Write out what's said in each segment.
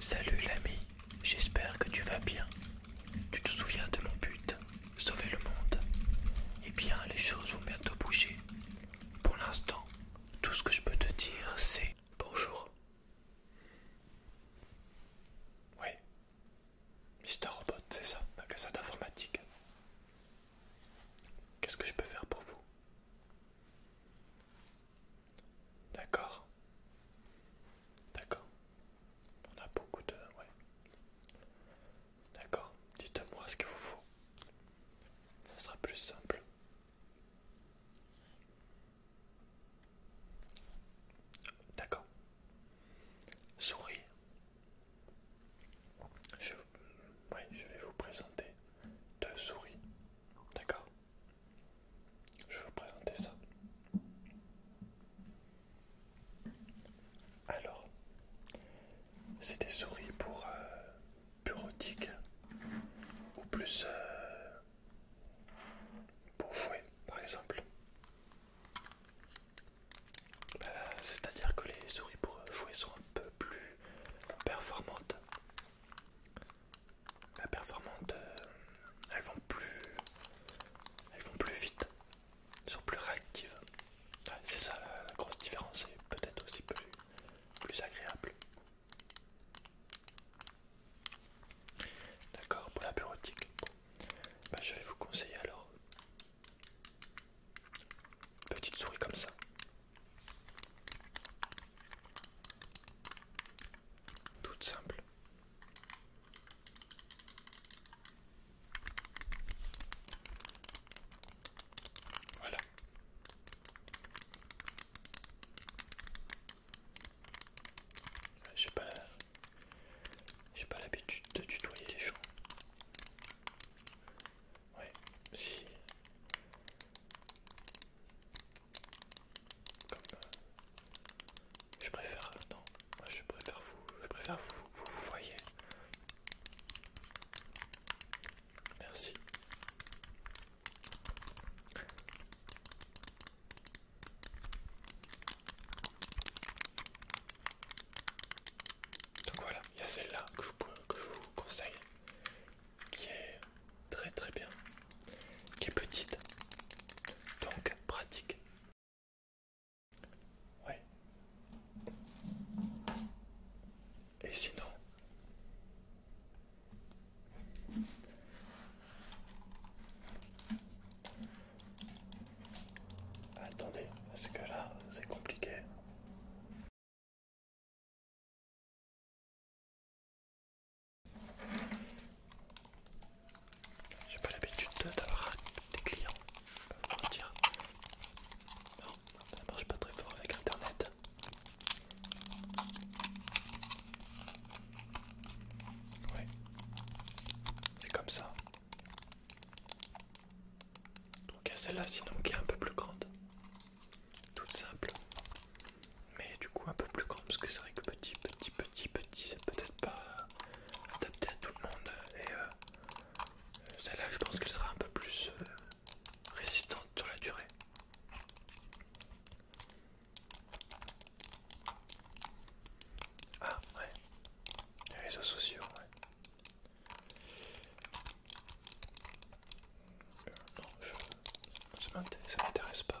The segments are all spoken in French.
Salut l'ami, j'espère que tu vas bien. Tu te souviens de mon but, sauver le monde. Eh bien, les choses vont bientôt bouger. Pour l'instant, tout ce que je peux te dire, c'est bonjour. Oui, Mister Robot, c'est ça, la d'informatique. Qu'est-ce que je peux faire pour vous D'accord. D'accord. On a beaucoup de... D'accord. Dites-moi ce qu'il vous faut. Ça sera plus simple. D'accord. Souris. je vais vous présenter deux souris D'accord Je vais vous présenter ça. Alors, c'est des souris pour euh, bureautique ou plus euh, pour jouer, par exemple. Bah, c'est-à-dire que les souris pour jouer sont un peu plus performantes la performante, euh, elles vont plus, elles vont plus vite, elles sont plus réactives. c'est ça la, grosse différence et peut-être aussi plus, plus agréable. D'accord, pour la bureautique, bah, je vais vous conseiller alors petite souris comme ça toute simple. Voilà. J'ai pas j'ai pas l'habitude de tutoyer les gens. Ouais, si euh, je préfère, non, moi je préfère vous, je préfère vous, vous, voyez. Merci. Donc voilà, il y a celle-là que, que je vous conseille qui est très très bien, qui est petite, donc pratique. Ouais. Et sinon, attendez, parce que là c'est compliqué. J'ai pas l'habitude d'avoir des clients, je peux le dire. Non, ça marche pas très fort avec internet. Ouais, c'est comme ça. Donc il y a celle-là, sinon qui est un peu plus grande, toute simple mais du coup un peu plus grand parce que c'est vrai que petit, petit, petit, petit, c'est peut-être pas adapté à tout le monde et euh, celle-là je pense qu'elle sera un peu plus euh, résistante sur la durée. Ah ouais, les réseaux sociaux, ouais. Euh, non, je... ça m'intéresse pas.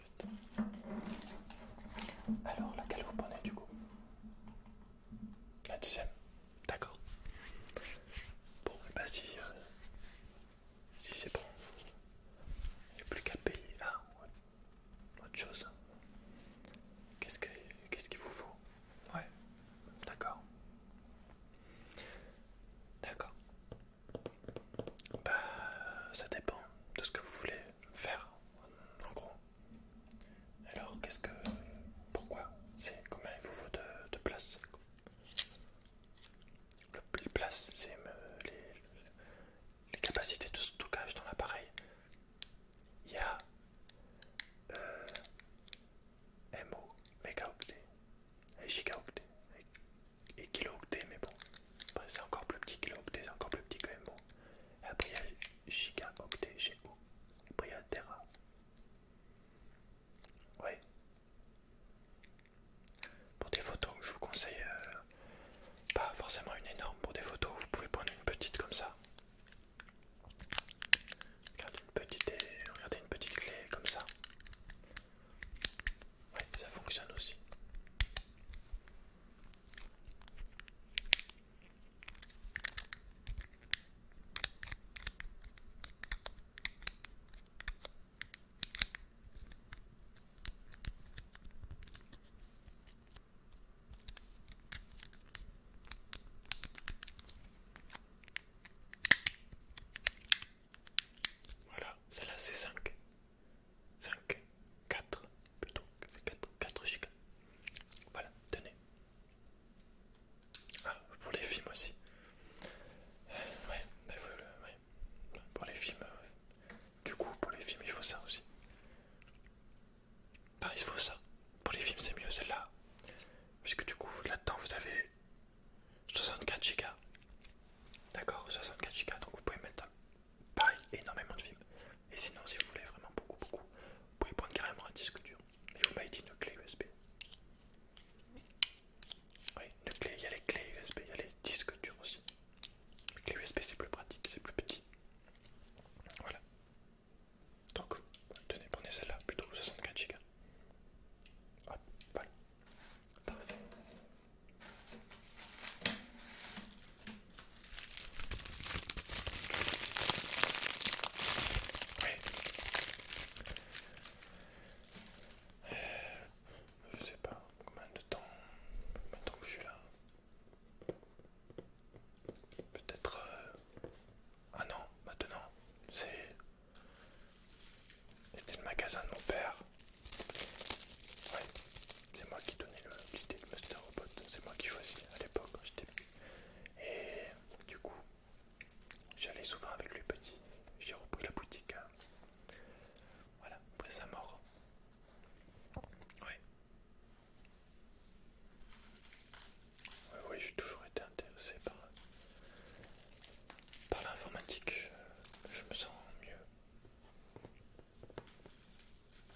Alors, laquelle vous prenez du coup La deuxième D'accord. Bon, bah si, euh, si c'est bon, il n'y a plus qu'à payer. Ah, ouais. autre chose. Qu'est-ce qu'il vous faut Ouais, d'accord. D'accord. Bah, ça dépend de ce que vous voulez faire en gros. Alors, qu'est-ce que... Pourquoi C'est combien il vous faut de, place le, Les places, c'est euh, les, capacités de stockage dans l'appareil. Il y a euh, MO, mégaoctets, et gigaoctets, et, et kilooctets, mais bon, bah, c'est encore plus petit que l'octet, c'est encore plus petit quand même. Bon. après il y a giga octet GO. Après il y a Terra. Ouais. Pour des photos, je vous conseille euh, pas forcément une énorme. Pour des photos, vous pouvez prendre une petite comme ça. Regardez une petite, euh, regardez une petite clé comme ça. Ouais, ça fonctionne aussi. Voilà, celle-là c'est 5. 5, 4, plutôt, 4, 4 gigas. Voilà, tenez. Ah, pour les films aussi. ouais, le, pour les films. Euh, du coup, pour les films, il faut ça aussi. Ben, il faut ça. Pour les films, c'est mieux celle-là. Puisque du coup, là-dedans, vous avez 64 gigas. D'accord, 64 gigas, donc vous pouvez mettre pareil, énormément de films. Et sinon, si vous voulez vraiment beaucoup, beaucoup, vous pouvez prendre carrément un disque dur. Et vous m'avez dit une clé USB. Oui, une clé, il y a les clés USB, il y a les disques durs aussi. Les clés USB, c'est plus pratique, c'est plus petit. Voilà. Donc, tenez, prenez celle-là, plutôt 64 Go. Hop, voilà. Euh, je sais pas combien de temps, maintenant que je suis là. Peut-être Ah un an maintenant. C'est c'était le magasin de mon père. C'est moi qui donnais l'idée de Master Robot, c'est moi qui choisis à l'époque quand j'étais Et du coup, j'allais souvent avec lui petit. J'ai repris la boutique. Hein. Voilà, après sa mort. Oui, oui, j'ai toujours été intéressé par, par l'informatique, je me sens mieux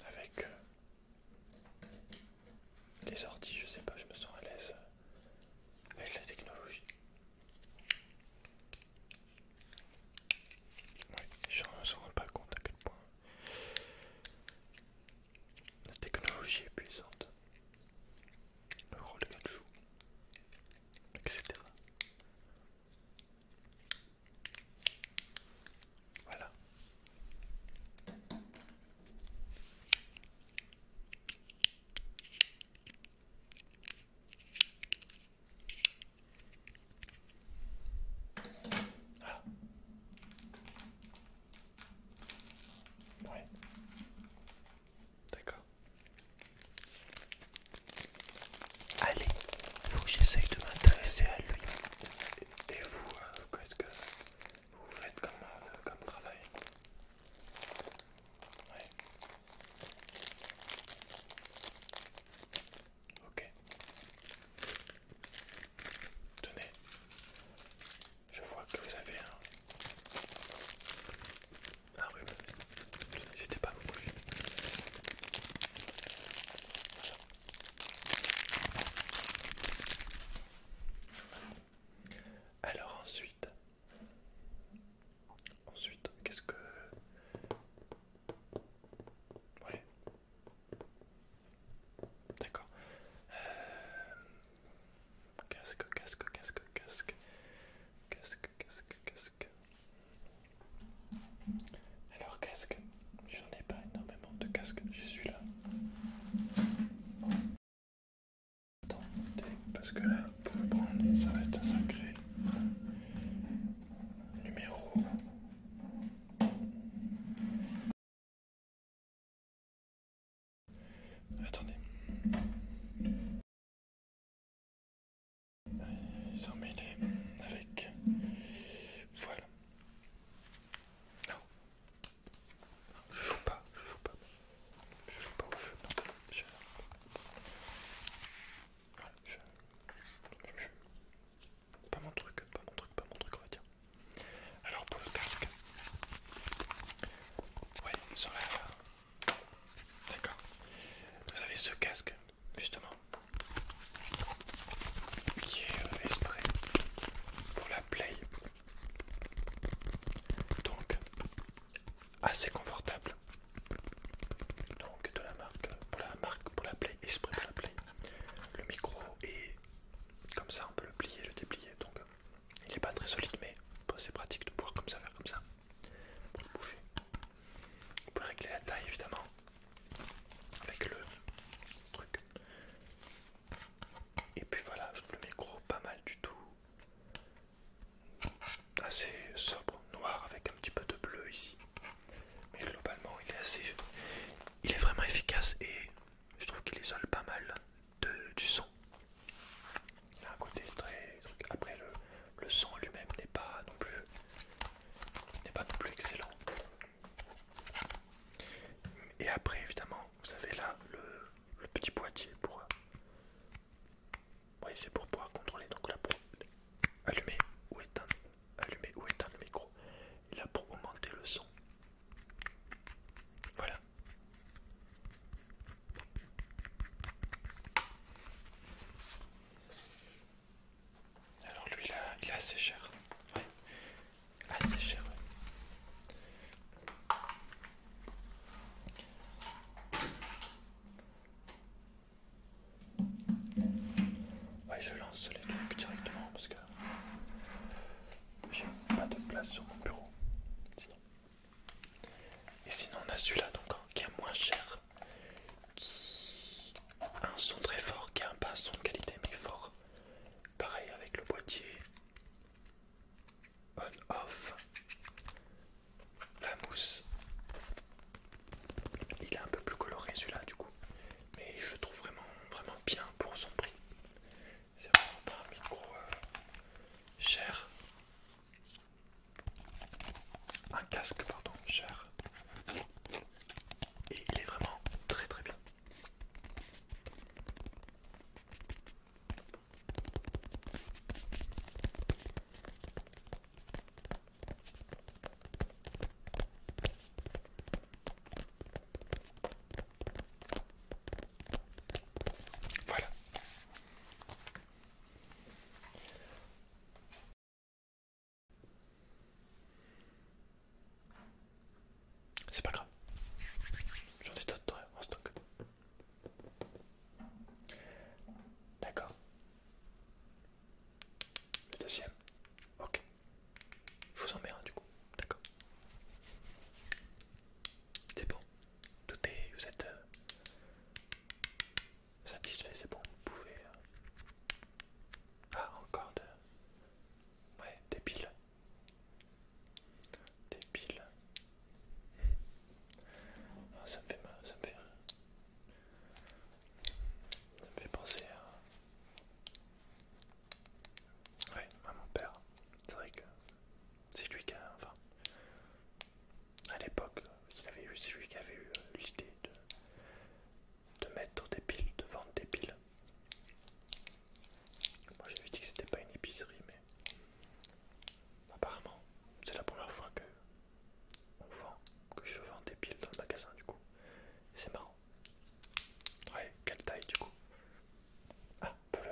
avec euh, les sorties, je sais pas, je me sens à l'aise avec la technologie. Oui, les gens ne se rendent pas compte à quel point la technologie est puissante. Le rôle de joue, etc. Voilà. Ah. Ouais. D'accord. Allez, il faut que j'essaye de m'intéresser à lui. Et vous, euh, qu'est-ce que vous faites comme, euh, travail Ok. Tenez, je vois que vous avez un, rhume. N'hésitez pas à vous bouger. Alors ensuite, ensuite, qu'est-ce que... Ouais. D'accord. Euh, casque, casque, casque, casque. Casque, casque, casque. Alors casque, j'en ai pas énormément de casque, je suis là Attendez, parce que là, pour le prendre, ça va être un sacré numéro. Attendez. Ils sont mêlés avec. Voilà. Non. Je joue pas, je joue pas. Je joue pas au jeu, non. Je... Voilà, je... je. Pas mon truc, pas mon truc, pas mon truc, on va dire. Alors pour le casque. Ouais, sur la. D'accord. Vous avez ce casque justement, qui est exprès pour la play, donc assez confortable. Donc de la marque pour la marque pour la play, exprès pour la play. Le micro est comme ça, on peut le plier, le déplier, donc il n'est pas très solide, mais c'est pratique de pouvoir comme ça faire comme ça pour le bouger. Vous pouvez régler la taille évidemment avec le truc. Et puis voilà, je trouve le micro pas mal du tout. Assez sobre, noir avec un petit peu de bleu ici. Mais globalement, il est assez. Il est vraiment efficace et je trouve qu'il isole pas mal du son. Il a un côté très. Après, le son lui-même n'est pas non plus n'est pas non plus excellent. Et après, évidemment, vous avez là le, petit boîtier pour. Euh, c'est pour pouvoir contrôler. Donc là, pour allumer ou éteindre, allumer ou éteindre le micro. Et là, pour augmenter le son. Voilà. Alors lui il est assez cher. Assez cher. Ouais. je lance les trucs directement parce que j'ai pas de place sur mon bureau. Et sinon, on a celui-là donc hein, qui est moins cher qui a un son très fort, qui a un pas son de qualité mais fort. Pareil avec le boîtier on-off, la mousse. Il est un peu plus coloré celui-là du coup, mais je trouve vraiment vraiment bien pour son prix. C'est vraiment pas un micro euh, cher. Un casque, pardon, cher et il est vraiment très très bien. Voilà. C'est pas grave. J'en ai d'autres en stock. D'accord. Le deuxième. Ok. Je vous en mets un du coup. D'accord. C'est bon. Tout est. Vous êtes. Euh, Satisfait, c'est bon, vous pouvez. Euh, ah, encore de. Ouais, des piles. Des piles. Ah, ça me fait fait. Ça me fait penser à. Ouais, à mon père. C'est vrai que c'est lui qui a. Enfin. À l'époque, il avait eu, c'est lui qui avait eu euh, l'idée de de mettre des piles, de vendre des piles. Moi j'avais dit que c'était pas une épicerie, mais apparemment c'est la première fois que que je vends des piles dans le magasin du coup. C'est marrant. Ouais, quelle taille du coup Ah, pour le...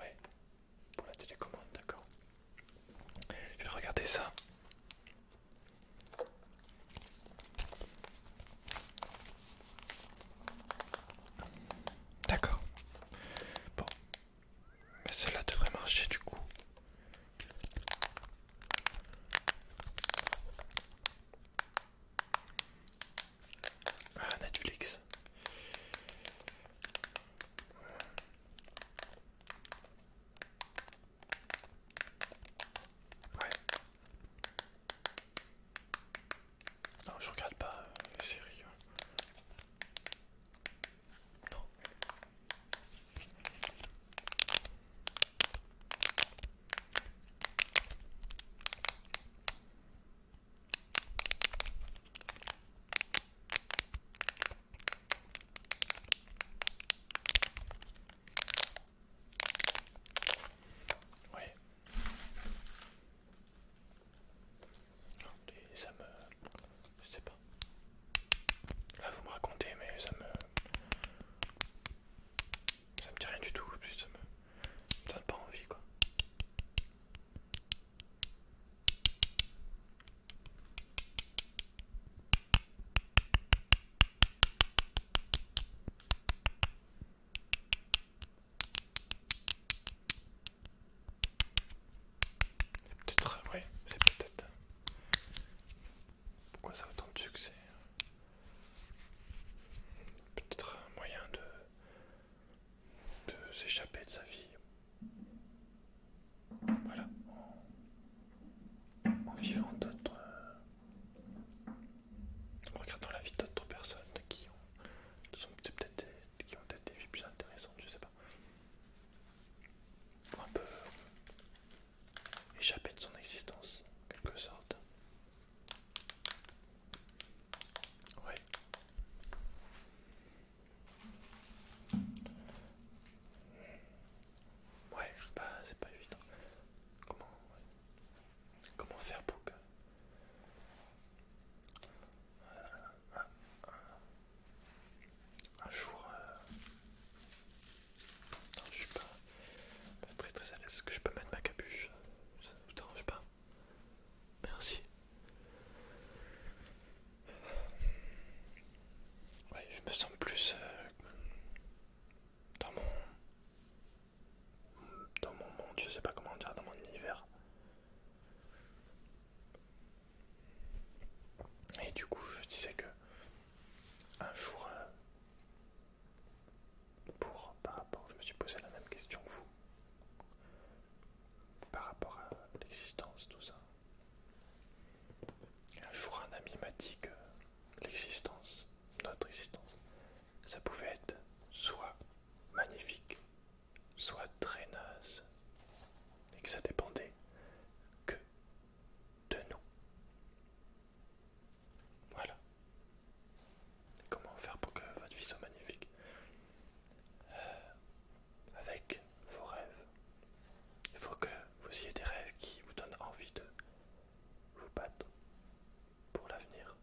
Ouais, pour la télécommande, d'accord. Je vais regarder ça. D'accord. Bon. Mais cela devrait marcher du coup. Ah, Netflix. Non, je regarde pas c'est euh, rigolo. Oui. ça me... Je sais pas. Là vous me racontez mais ça me... Ça me dit rien du tout, puis ça me, ça me donne pas envie quoi. Peut-être, euh, c'est peut-être. Euh, pourquoi ça a autant de succès Peut-être un moyen de, de s'échapper de sa vie, voilà, en, vivant d'autres. Euh, en regardant la vie d'autres personnes qui ont, peut-être des, ont vies plus intéressantes, je sais pas. Un peu échapper de son existence, en quelque sorte. Ouais. Ouais, bah c'est pas évident. Hein. Comment, Comment faire pour que... un, jour... Euh, je suis pas, très très à l'aise. Est-ce que je peux mettre ma capuche Ça vous dérange pas Merci je me sens plus euh, dans mon dans mon monde, je sais pas comment dire, dans mon univers. Et du coup, je disais que un jour, euh, pour par rapport, je me suis posé la même question que vous, par rapport à l'existence, tout ça. Un jour, un ami m'a dit que l'existence, notre existence, ça pouvait être soit magnifique, soit très naze, et que ça dépendait que de nous. Voilà. comment faire pour que votre vie soit magnifique euh, avec vos rêves. Il faut que vous ayez des rêves qui vous donnent envie de vous battre pour l'avenir.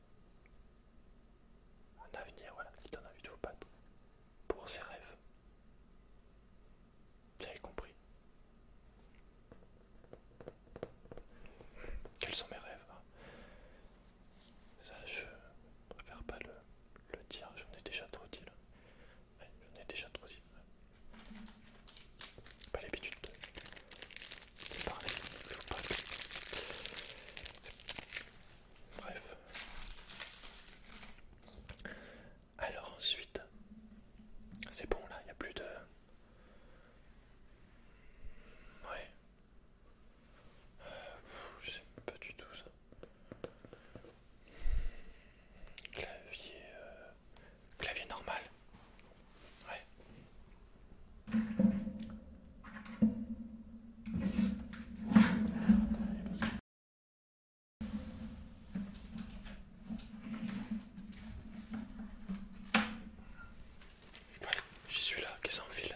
Un avenir, voilà, qui donne envie de vous battre pour ses rêves. Vous avez compris Quels sont mes rêves hein Ça, je préfère pas le, le dire, j'en ai déjà trop dit. Là. Ouais, J'en ai déjà trop dit. Pas l'habitude de, parler, Bref. Alors ensuite, c'est bon là, il n'y a plus de... Ouais. Euh, je sais pas du tout ça. Clavier, euh, clavier normal. Ouais. j'y suis là, qu'est-ce qu'on file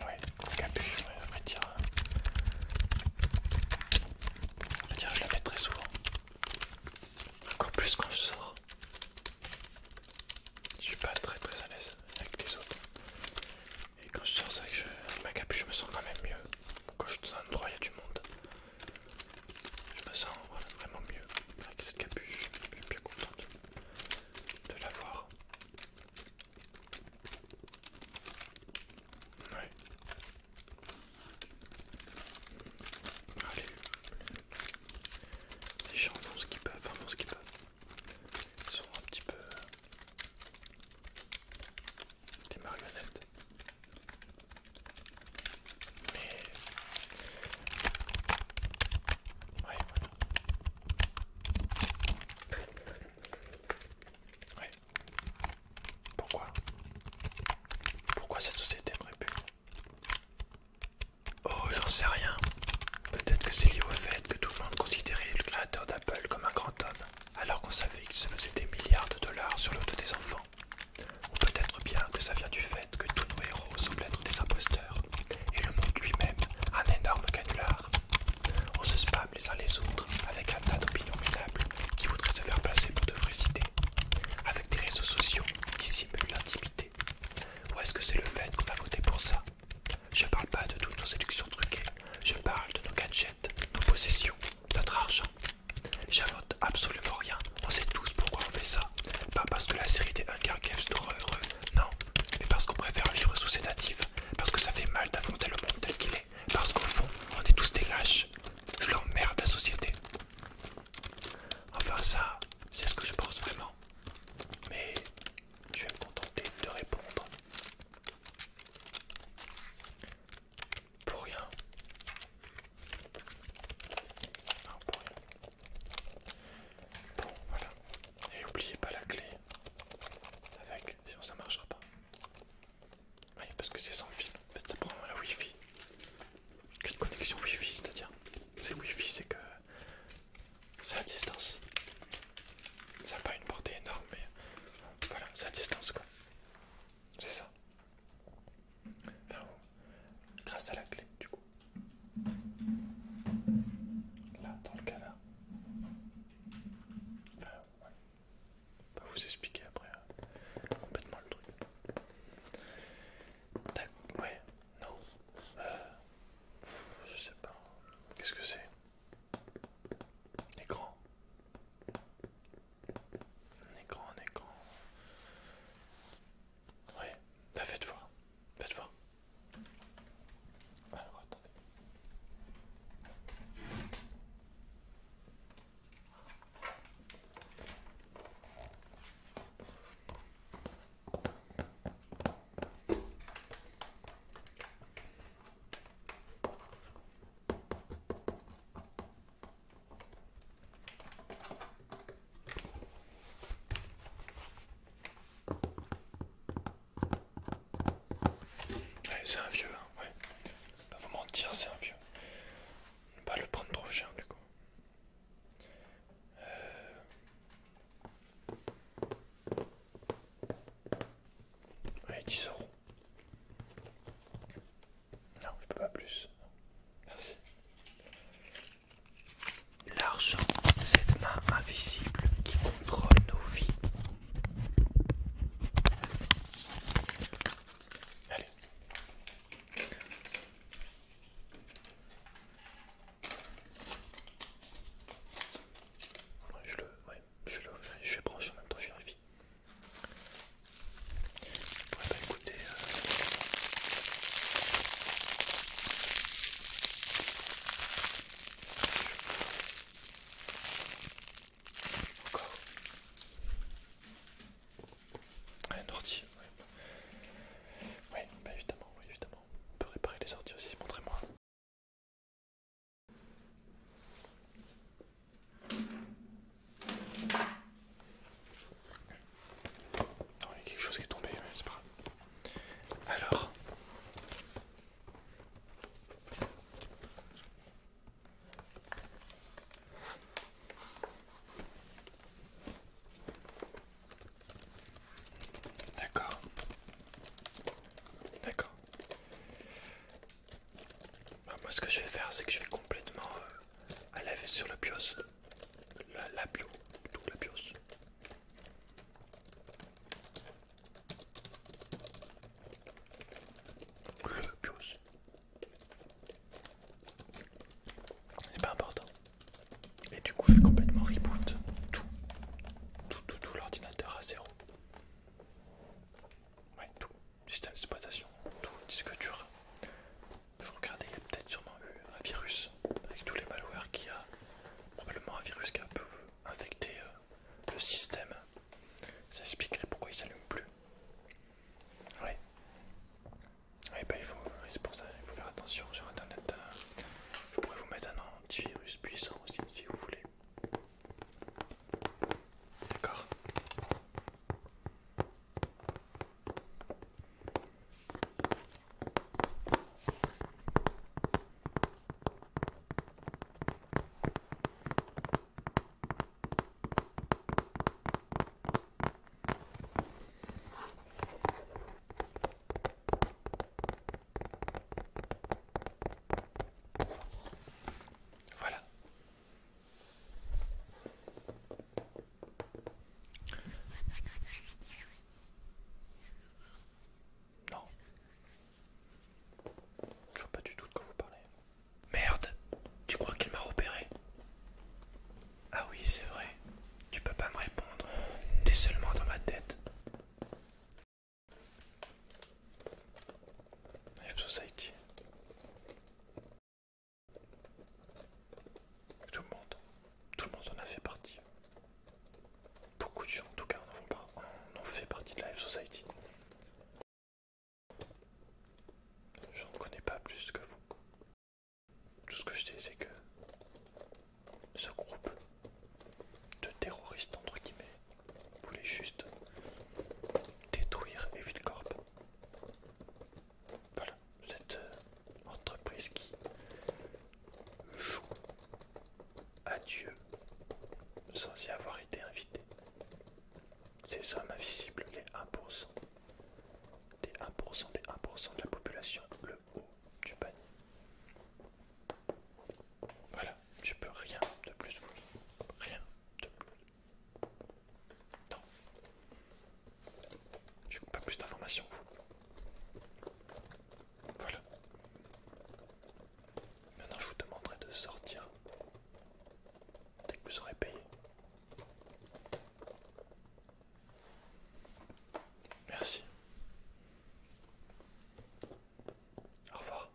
Oui, capuche, à vrai dire. dire, je la mets très souvent. Encore plus quand je sors. Je suis pas très très à l'aise avec les autres. Et quand je sors, que avec ma capuche, je me sens quand même mieux. Quand je suis dans un endroit, il y a du monde. Je me sens vraiment mieux avec cette capuche. Je suis bien contente de l'avoir. voir. Allez, les gens font ce qu'ils peuvent, font ce qu'ils peuvent. Ils sont un petit peu des marionnettes. Mais... oui, Pourquoi Pourquoi cette société me Oh, j'en sais rien. Peut-être que c'est lié au fait que tout le monde considérait le créateur d'Apple comme un grand homme alors qu'on savait qu'il se faisait des milliards de dollars sur le dos des enfants. Ou peut-être bien que ça vient du fait que tous nos héros semblent être des imposteurs, et le monde lui-même un énorme canular. On se spamme les uns les autres avec un tas d'opinions ménables qui voudraient se faire passer pour de vraies idées, avec des réseaux sociaux qui simulent l'intimité. Ou est-ce que c'est le fait qu'on a voté pour ça Je parle pas de toutes nos séductions truquées, je parle de nos gadgets, nos possessions, notre argent, J'invente absolument rien. On sait tous pourquoi on fait ça. Pas parce que la série des un Games d'horreur, heureux, non. Mais parce qu'on préfère vivre sous natifs, Parce que ça fait mal d'affronter le monde tel qu'il est. Parce qu'au fond, on est tous des lâches. Je l'emmerde la société. Enfin ça, c'est ce que je pense vraiment. Mais je vais me contenter de répondre. Pour rien. Bon, voilà. Et oubliez pas la clé. Avec, sinon ça marchera pas. Oui, parce que c'est sans fil. En fait, ça prend la Wi-Fi. une connexion Wi-Fi, c'est-à-dire C'est Wi-Fi, c'est que. C'est à distance. Ça n'a pas une portée énorme, mais. Voilà, c'est à distance quoi. C'est ça. Enfin, grâce à la clé, du coup. Là, dans le cas là. Enfin, On va vous expliquer après hein, complètement le truc. Ouais, non. Euh, je sais pas. Qu'est-ce que c'est Écran. Un écran, un écran. Oui, faites bah, faites voir. Faites voir. Alors attendez c'est un vieux, hein, ouais. Pas vous mentir, c'est un vieux. Ne pas le prendre trop cher du coup. Euh. Allez, 10 euros. Non, je peux pas plus. Merci. L'argent, cette main invisible qui contrôle nos vies. Allez. Je le, fais, je le, je brancher en même temps, je vérifie. Ouais, pas bah, écouter. écouter. Euh, encore un ordi, oui. Oui, bah évidemment, On peut réparer les ordi aussi, montrez-moi il y a quelque chose qui est tombé, mais c'est pas grave. Alors. D'accord. D'accord. Bah, moi ce que je vais faire c'est que je vais complètement aller euh, à sur le bios. La, la bio, bios. Le bios. C'est pas important. Et du coup je vais complètement reboot tout. Tout tout tout l'ordinateur à zéro. Ouais tout système d'exploitation, tout disque dur. Je regardais, il y a peut-être sûrement eu un virus avec tous les malwares qui a probablement un virus qui a pu peu infecté euh, le système. Ça expliquerait pourquoi il s'allume plus. Ouais. Bah, il c'est pour ça, qu'il faut faire attention sur internet. Euh. je pourrais vous mettre un antivirus puissant aussi si vous voulez. D'accord. Voilà, non. Je vois pas du tout de quoi vous parlez. Merde Tu crois qu'il m'a repéré Ah oui, c'est vrai. Tu peux pas me répondre. T'es seulement dans ma tête. Life Society. Tout le monde, tout le monde en a fait partie. Beaucoup de gens, en tout cas, en, fait partie de la F Society. Je ne connais pas plus que vous. Tout ce que je sais, c'est que ce groupe de terroristes, entre guillemets, voulez juste détruire Evil Corp. Voilà, cette euh, entreprise qui joue à Dieu sans y avoir été invité. Ces hommes invisibles, les 1%, des 1% des 1% de la population, le haut du panier. Voilà, je peux rien de plus vous, rien de plus. Non. J'ai pas plus d'informations Voilà. Maintenant, je vous demanderai de sortir dès que vous serez payé. Merci. Au revoir.